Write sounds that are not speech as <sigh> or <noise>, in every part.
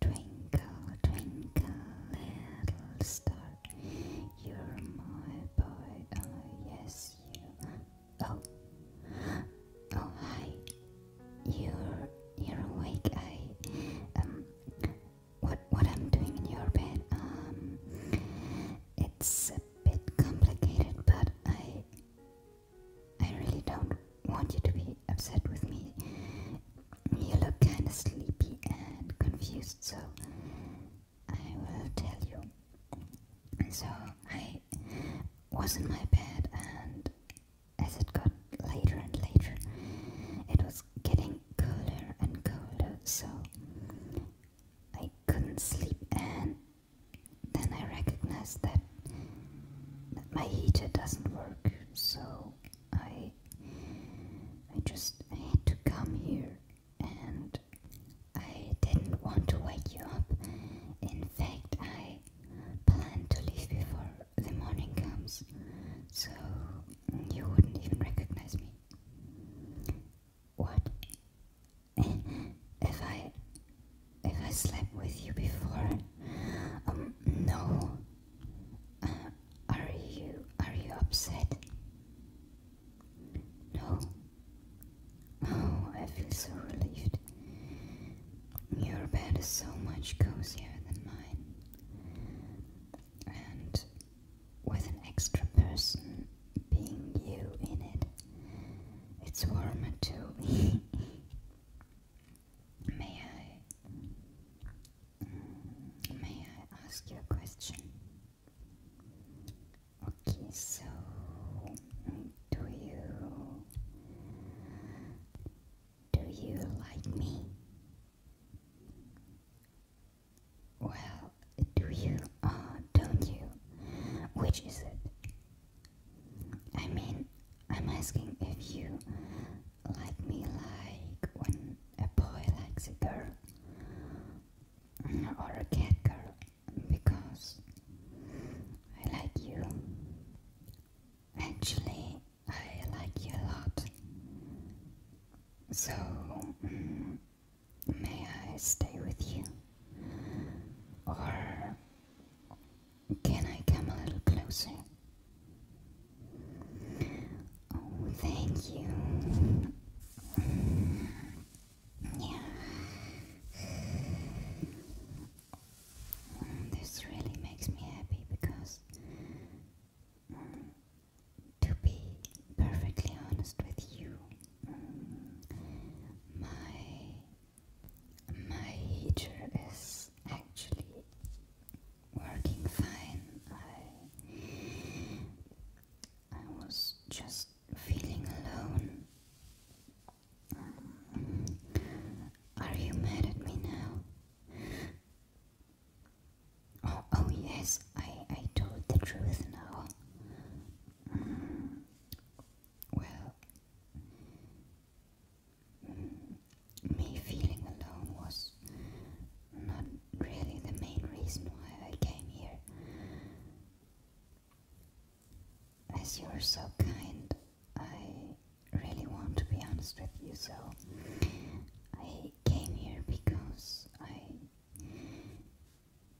Twinkle, twinkle, little star, you're my boy. Oh yes, you. Oh, oh hi. You're you're awake. I um. What what I'm doing in your bed? Um. It's a bit complicated, but I I really don't want you to be upset with me. You look kind of sleepy and confused, so I will tell you. So I was in my bed, and as it got later and later, it was getting colder and colder, so I couldn't sleep, and then I recognized that my heater doesn't work, so I I just had to come here and I didn't want to wake you up. In fact, I planned to leave before the morning comes, so you wouldn't even recognize me. What? If I if I slept with you before. Um, no. Uh, are you are you upset? No. Oh, I feel so relieved. Your bed is so much cozier than mine. And with an extra person being you in it, it's warmer too. <laughs> May I? Mm, may I ask you a question? Okay, so do you do you like me? Well, do you or uh, don't you? Which is it? I mean, I'm asking if you like me like when a boy likes a girl or a cat girl because I like you. Actually, I like you a lot. So, mm, may I stay with you? Or can I come a little closer? Oh, thank you. Mm, yeah. Mm, this really makes me happy because, mm, to be perfectly honest with you, my my heater is actually working fine. I I was just feeling alone. Um, are you mad at me now? Oh, oh, yes, I, I told the truth now. Um, well, Mm. me feeling alone was not really the main reason why I came here. As you're so kind, I really want to be honest with you, so I came here because I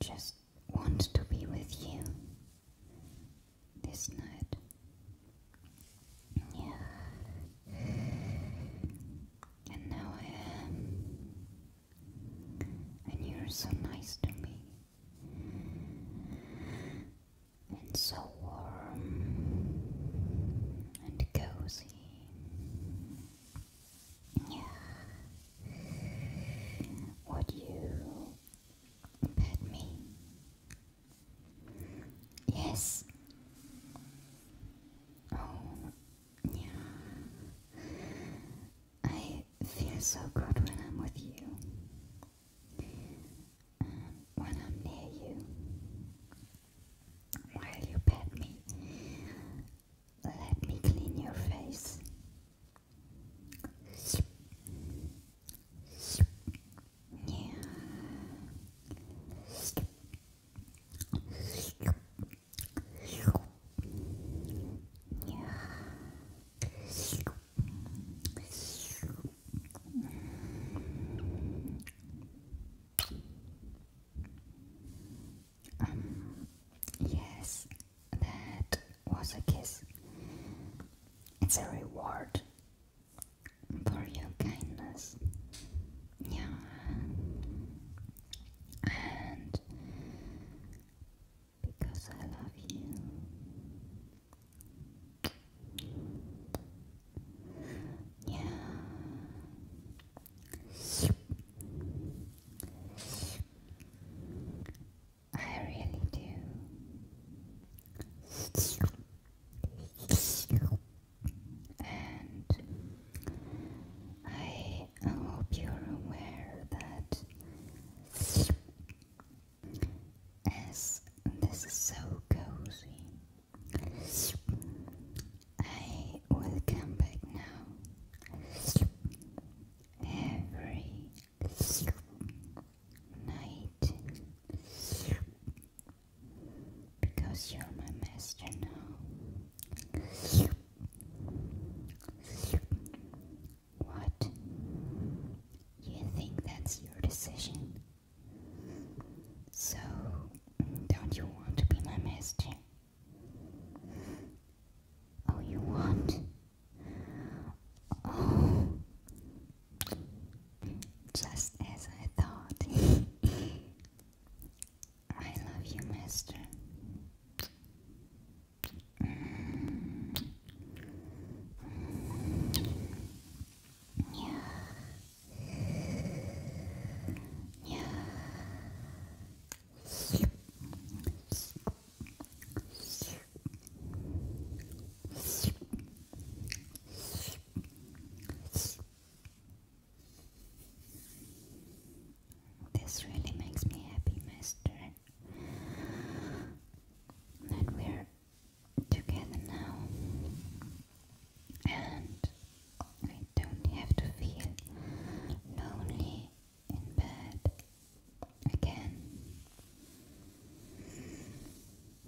just want to be with you this night. Yeah. And now I am. And you're so nice to me. And so warm. And cozy. Yeah. What you Pet me. Yes. Oh, yeah. I feel so good when I'm with you. Um, when I'm near you. While you pet me, let me clean your face. Um, yes, that was a kiss. It's a reward for your kindness. Yeah. And because I love you. Yeah. I really do. And I hope you're aware that as this is so cozy, I will come back now every night because you're my master now. What? You think that's your decision? So, don't you want to be my master? Oh, you want? just as I thought. I love you, Master. Yeah. Yeah. This really makes me happy, Master. That we're together now and I don't have to feel lonely in bed again.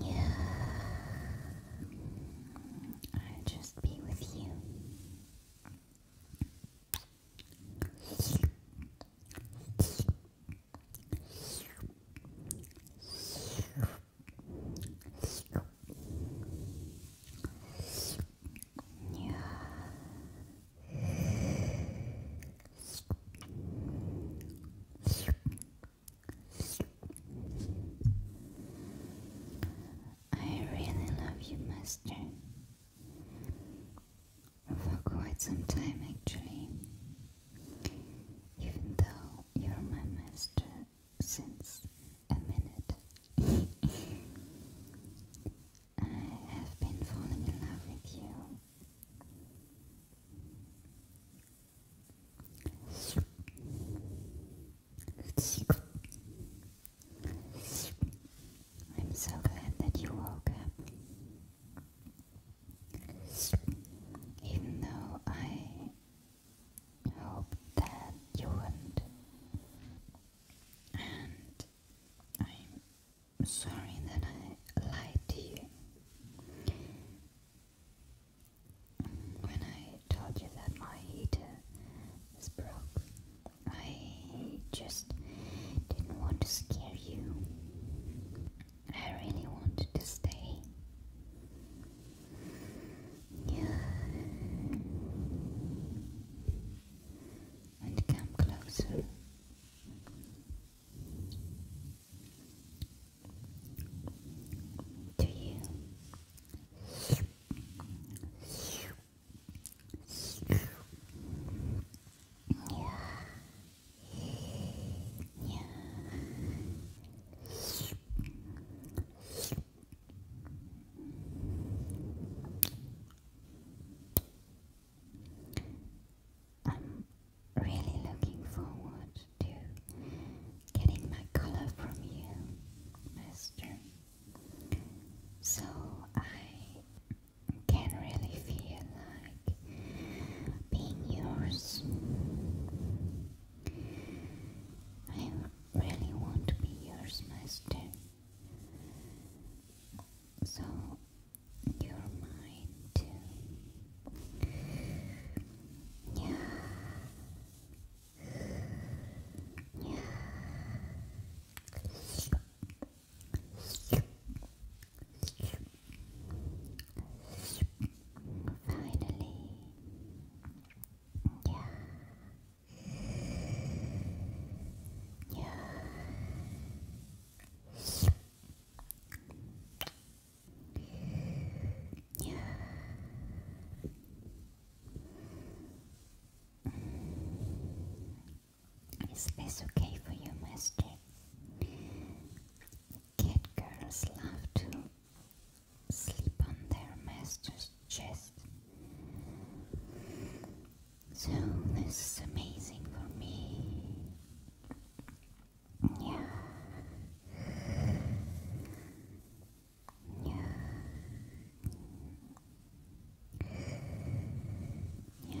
Yeah, i just be with you. Yeah. I really love you, Master. For quite some time, actually. Even though you're my master since a minute. <laughs> I have been falling in love with you. I'm so glad that you woke up. Even though I hope that you wouldn't. And I'm I'm sorry that I lied to you when I told you that my heater was broke. I just didn't want to scare you. I really wanted to stay. Yeah and come closer. To you. Yeah. Yeah. I'm really looking forward to getting my color from you, Master. So I can really feel like being yours. I really want to be yours, Master. So you're too. Yeah. Yeah. Finally, yeah, yeah. Yeah. Is this okay for you, Master? Cat girls love to sleep on their masters chest. So this is amazing for me. Yeah. Yeah. Yeah.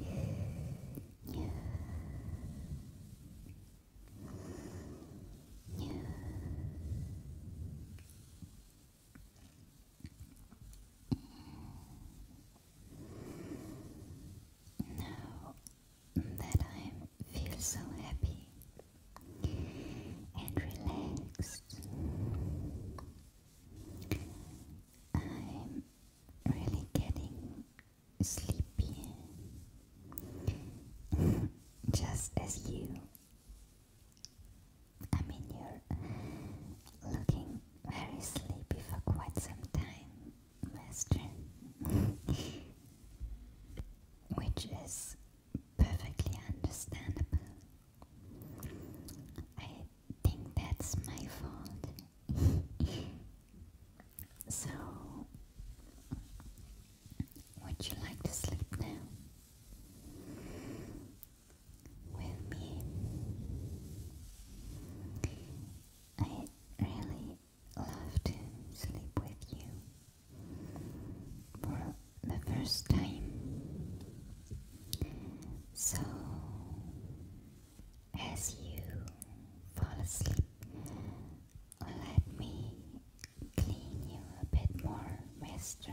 Now that I feel so happy and relaxed. I'm really getting sleepy, <laughs> just as you. I mean, you're looking very sleepy for quite some time, Master, <laughs> which is perfectly understandable. I think that's my fault. <laughs> so, would you like to sleep now? With me? I really love to sleep with you for the first time. So, as you fall asleep, let me clean you a bit more, Master.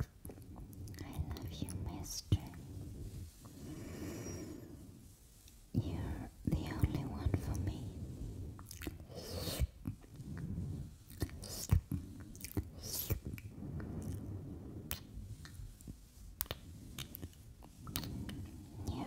I love you, Mister. You're the only one for me. Yeah. Yeah.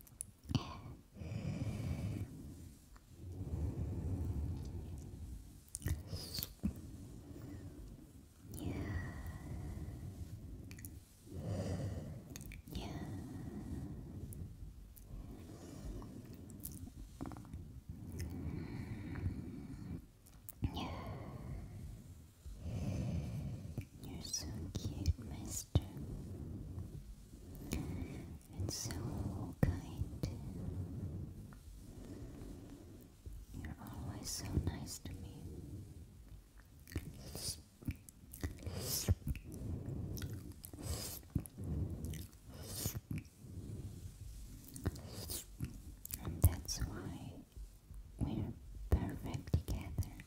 Yeah. Yeah. Yeah. You're so cute, my gesture and so kind. You're always so nice to me. And that's why we're perfect together.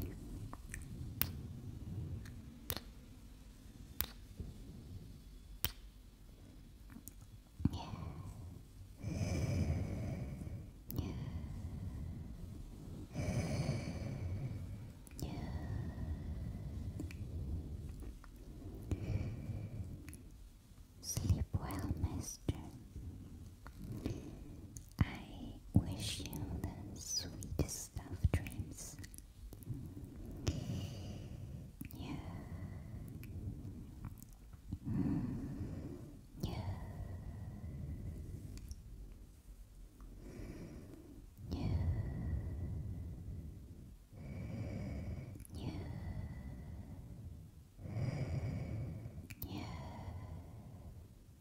Yeah. Yeah. Yeah. Sleep well, Mister. I wish you the sweetest of dreams. Yeah. Mm, yeah. Yeah. Yeah. Yeah.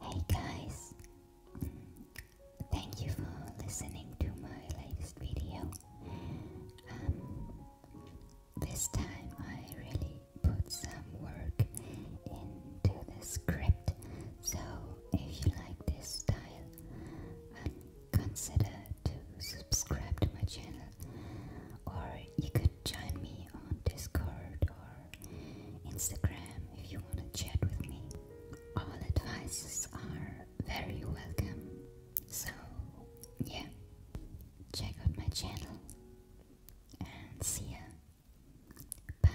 Hey guys, thank you for listening to my latest video. Um, this time I really put some work into the script, so if you like this style, um, consider to subscribe to my channel or you could join me on Discord or Instagram if you want to chat with me. All advices are very welcome. So, yeah, check out my channel and see ya. Bye.